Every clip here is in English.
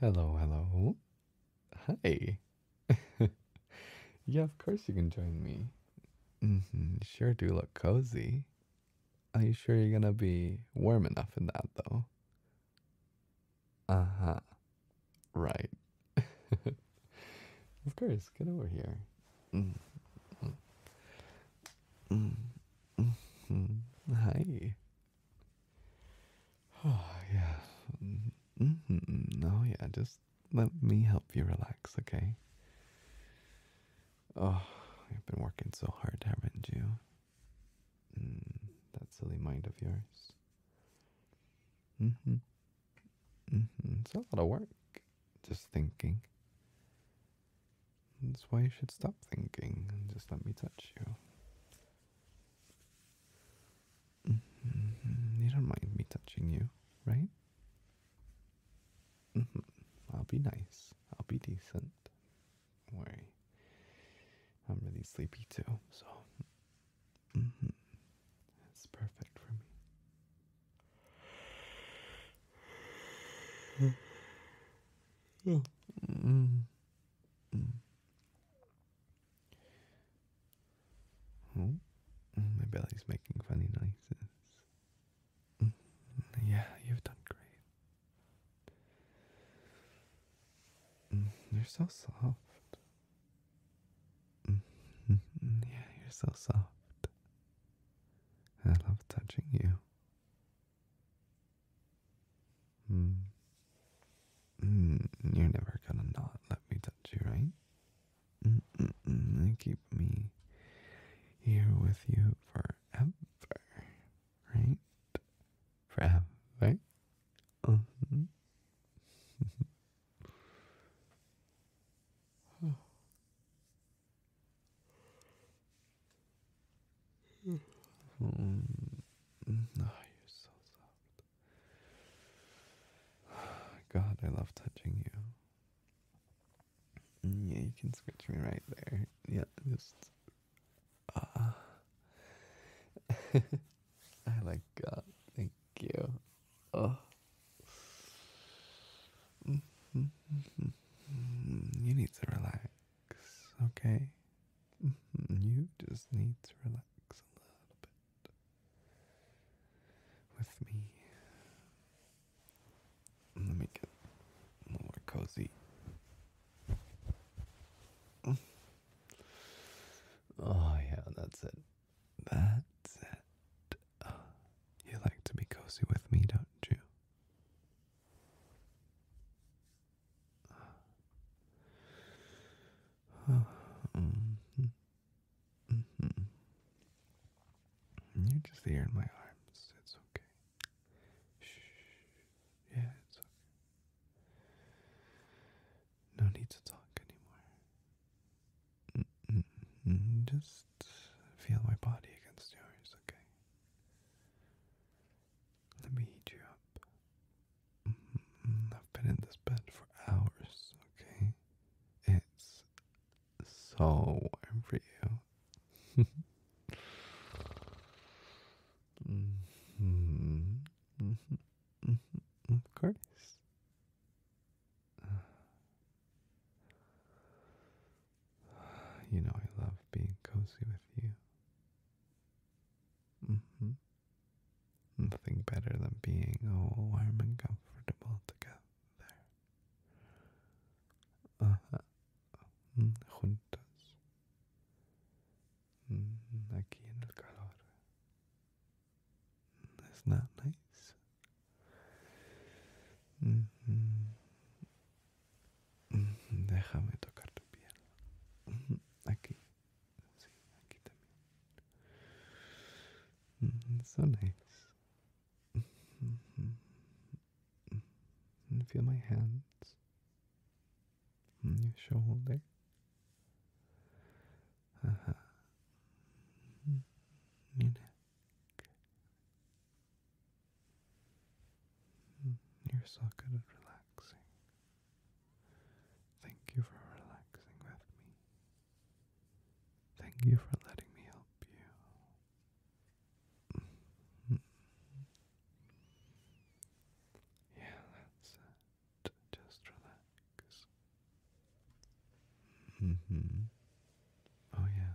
Hello, hello. Hi. yeah, of course you can join me. -hmm, sure do look cozy. Are you sure you're gonna be warm enough in that though? Uh huh. Right. of course, get over here. Mm -hmm. -hmm. Hi. Mm-hmm. Oh, yeah. no, yeah. Just let me help you relax, okay? Oh, you have been working so hard, haven't you? Mm, that silly mind of yours. hmm. Mm hmm. It's a lot of work. Just thinking. That's why you should stop thinking and just let me touch you. Mm-hmm. You don't mind me touching you, right? Mm-hmm. I'll be nice. I'll be decent. Don't worry. I'm really sleepy too, so it's mm-hmm. perfect for me. Oh. Oh, my belly's making funny noises. Mm, yeah, you've done great. You're so soft. Yeah, you're so soft. I love touching you. Mm. you're never gonna not let me touch you, right? mm keep me here with you forever, right? Forever. hmm Oh, you're so soft. God, I love touching you. Mm, yeah, you can scratch me right there. Yeah, just. Ah. I like God. Thank you. Oh. Mm-hmm. Mm-hmm. Mm-hmm. You need to relax okay? Mm-hmm. You just need to relax a little bit with me. Let me get more cozy. Oh, yeah, that's it. That's it. You like to be cozy with me, don't you? Mm-hmm. You're just here in my arms. It's okay. Shh. Yeah, it's okay. No need to talk anymore. Just feel my body against yours, okay? Let me heat you up. Mm, I've been in this bed for hours, okay? It's so warm for you. Mm-hmm. Of course. You know, I love being cozy with you. Mm-hmm. Nothing better than being warm and comfortable together. Uh-huh. Mm, juntos. Mm, aquí en el calor. Mm, isn't that nice? Mm-hmm. Mm-hmm, déjame tocar tu piel. Mm-hmm, aquí. Sí, aquí mm-hmm, So nice. Feel my hands. Your shoulder. Uh -huh. Hmm, you're so good at relaxing. Thank you for relaxing with me. Thank you for letting me help you. yeah, that's it. Just relax. Mm-hmm. Oh, yeah.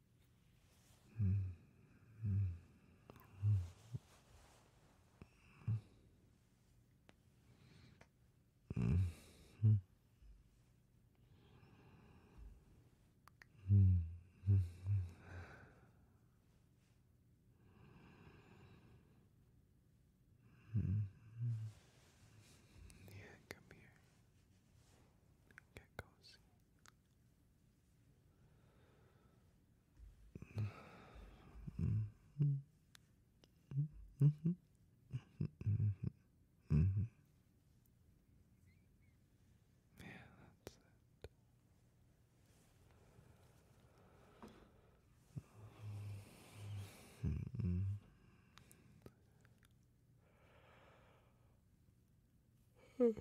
Yeah, come here. Get cozy. Yeah, that's it. Mm -mm i a little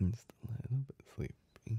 bit sleepy.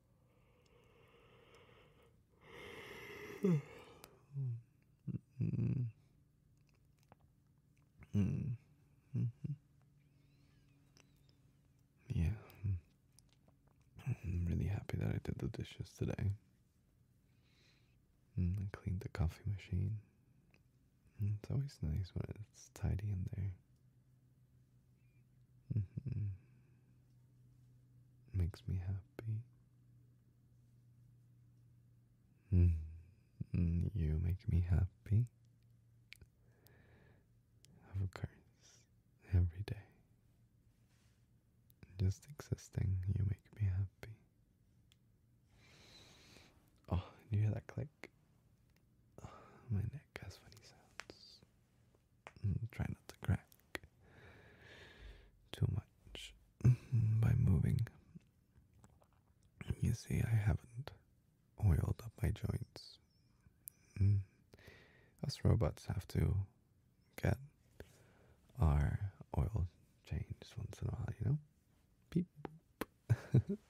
Yeah. I'm really happy that I did the dishes today. and mm, I cleaned the coffee machine. Mm, it's always nice when it's tidy in there. Mm -hmm. Makes me happy. Mm-hmm. You make me happy. Of course, every day. Just existing, you make me happy. Oh, you hear that click? Oh, my neck has funny sounds. Mm, try not to crack too much mm-hmm, by moving. You see, I haven't oiled up my joints. Mm. Us robots have to get our oil changed once in a while, you know? Beep boop.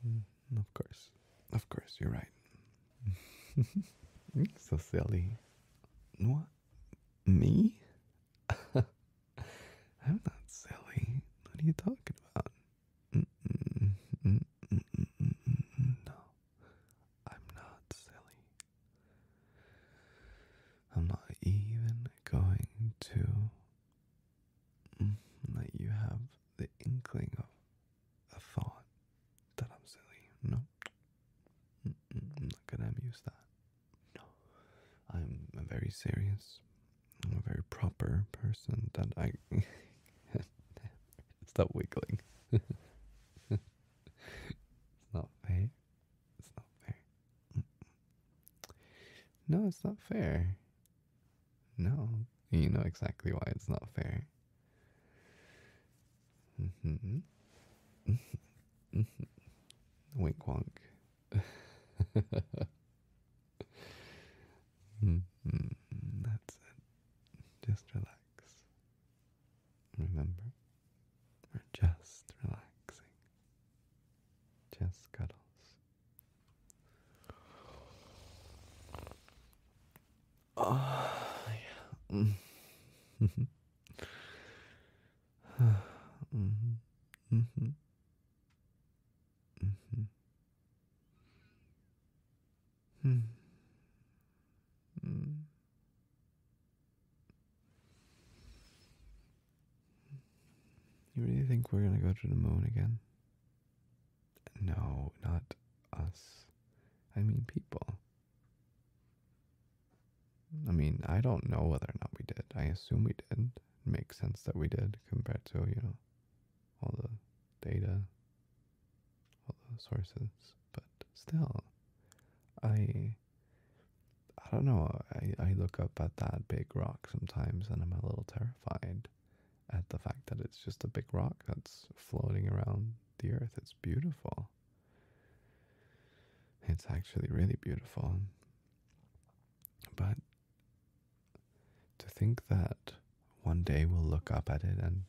Mm of course. Of course, you're right. so silly. What? Me? I'm not silly. What are you talking about? no, I'm not silly. I'm not even going to let you have the inkling of a thought that I'm silly. No, I'm not gonna use that. No, I'm a very serious, I'm a very proper person that I stop wiggling. it's not fair. It's not fair. No, it's not fair. No, you know exactly why it's not fair. Mm-hmm. Mm-hmm. Wink wonk. Mm-hmm. That's it. Just relax. Remember, we're just relaxing. Just cuddles. Oh, yeah. mm-hmm. mm-hmm. Mm-hmm. Mm-hmm. Hmm. You really think we're gonna go to the moon again? No, not us. I mean people. I mean, I don't know whether or not we did. I assume we did. It makes sense that we did compared to, you know, all the data, all the sources. But still, I I don't know. I, I look up at that big rock sometimes and I'm a little terrified at the fact that it's just a big rock that's floating around the earth. It's beautiful. It's actually really beautiful. But to think that one day we'll look up at it and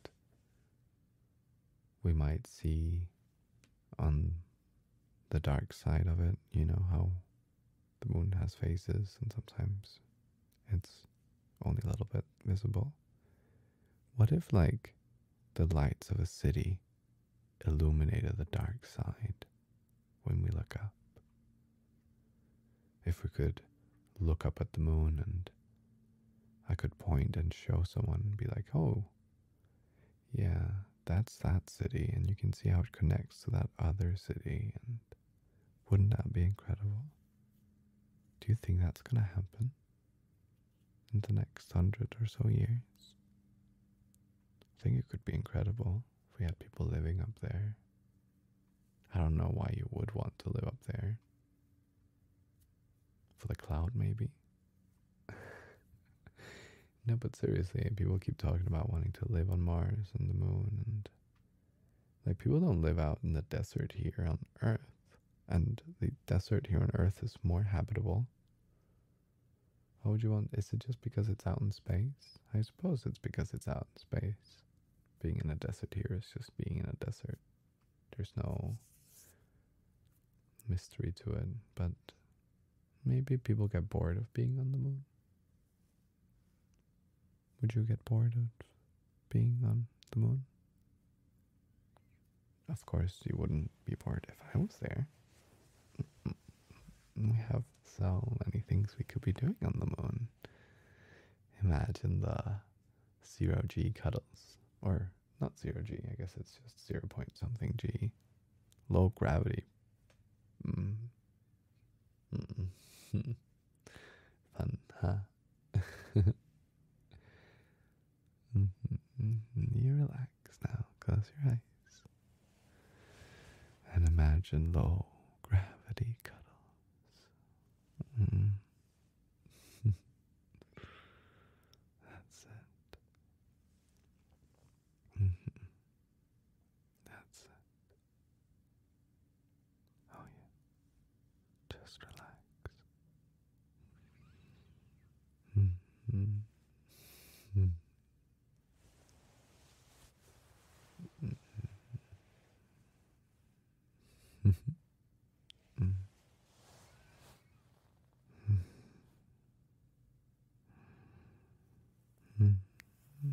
we might see on the dark side of it, you know, how the moon has phases and sometimes it's only a little bit visible. What if, like, the lights of a city illuminated the dark side when we look up? If we could look up at the moon and I could point and show someone and be like, oh, yeah, that's that city, and you can see how it connects to that other city, and wouldn't that be incredible? Do you think that's going to happen in the next hundred or so years? I think it could be incredible if we had people living up there. I don't know why you would want to live up there. For the cloud, maybe? no, but seriously, people keep talking about wanting to live on Mars and the moon and like, people don't live out in the desert here on Earth, and the desert here on Earth is more habitable. How would you want? Is it just because it's out in space? I suppose it's because it's out in space. Being in a desert here is just being in a desert. There's no mystery to it, but maybe people get bored of being on the moon. Would you get bored of being on the moon? Of course, you wouldn't be bored if I was there. We have so many things we could be doing on the moon. Imagine the zero G cuddles, or not zero G, I guess it's just zero point something G. Low gravity. Mm. Fun, huh? Mm-hmm. you relax now, close your eyes, and imagine low gravity cuddles. Mm-hmm. That's it. Mm-hmm. That's it. Oh, yeah. Just relax. Mm -hmm. Mm -hmm. Mm -hmm. -hmm. -hmm.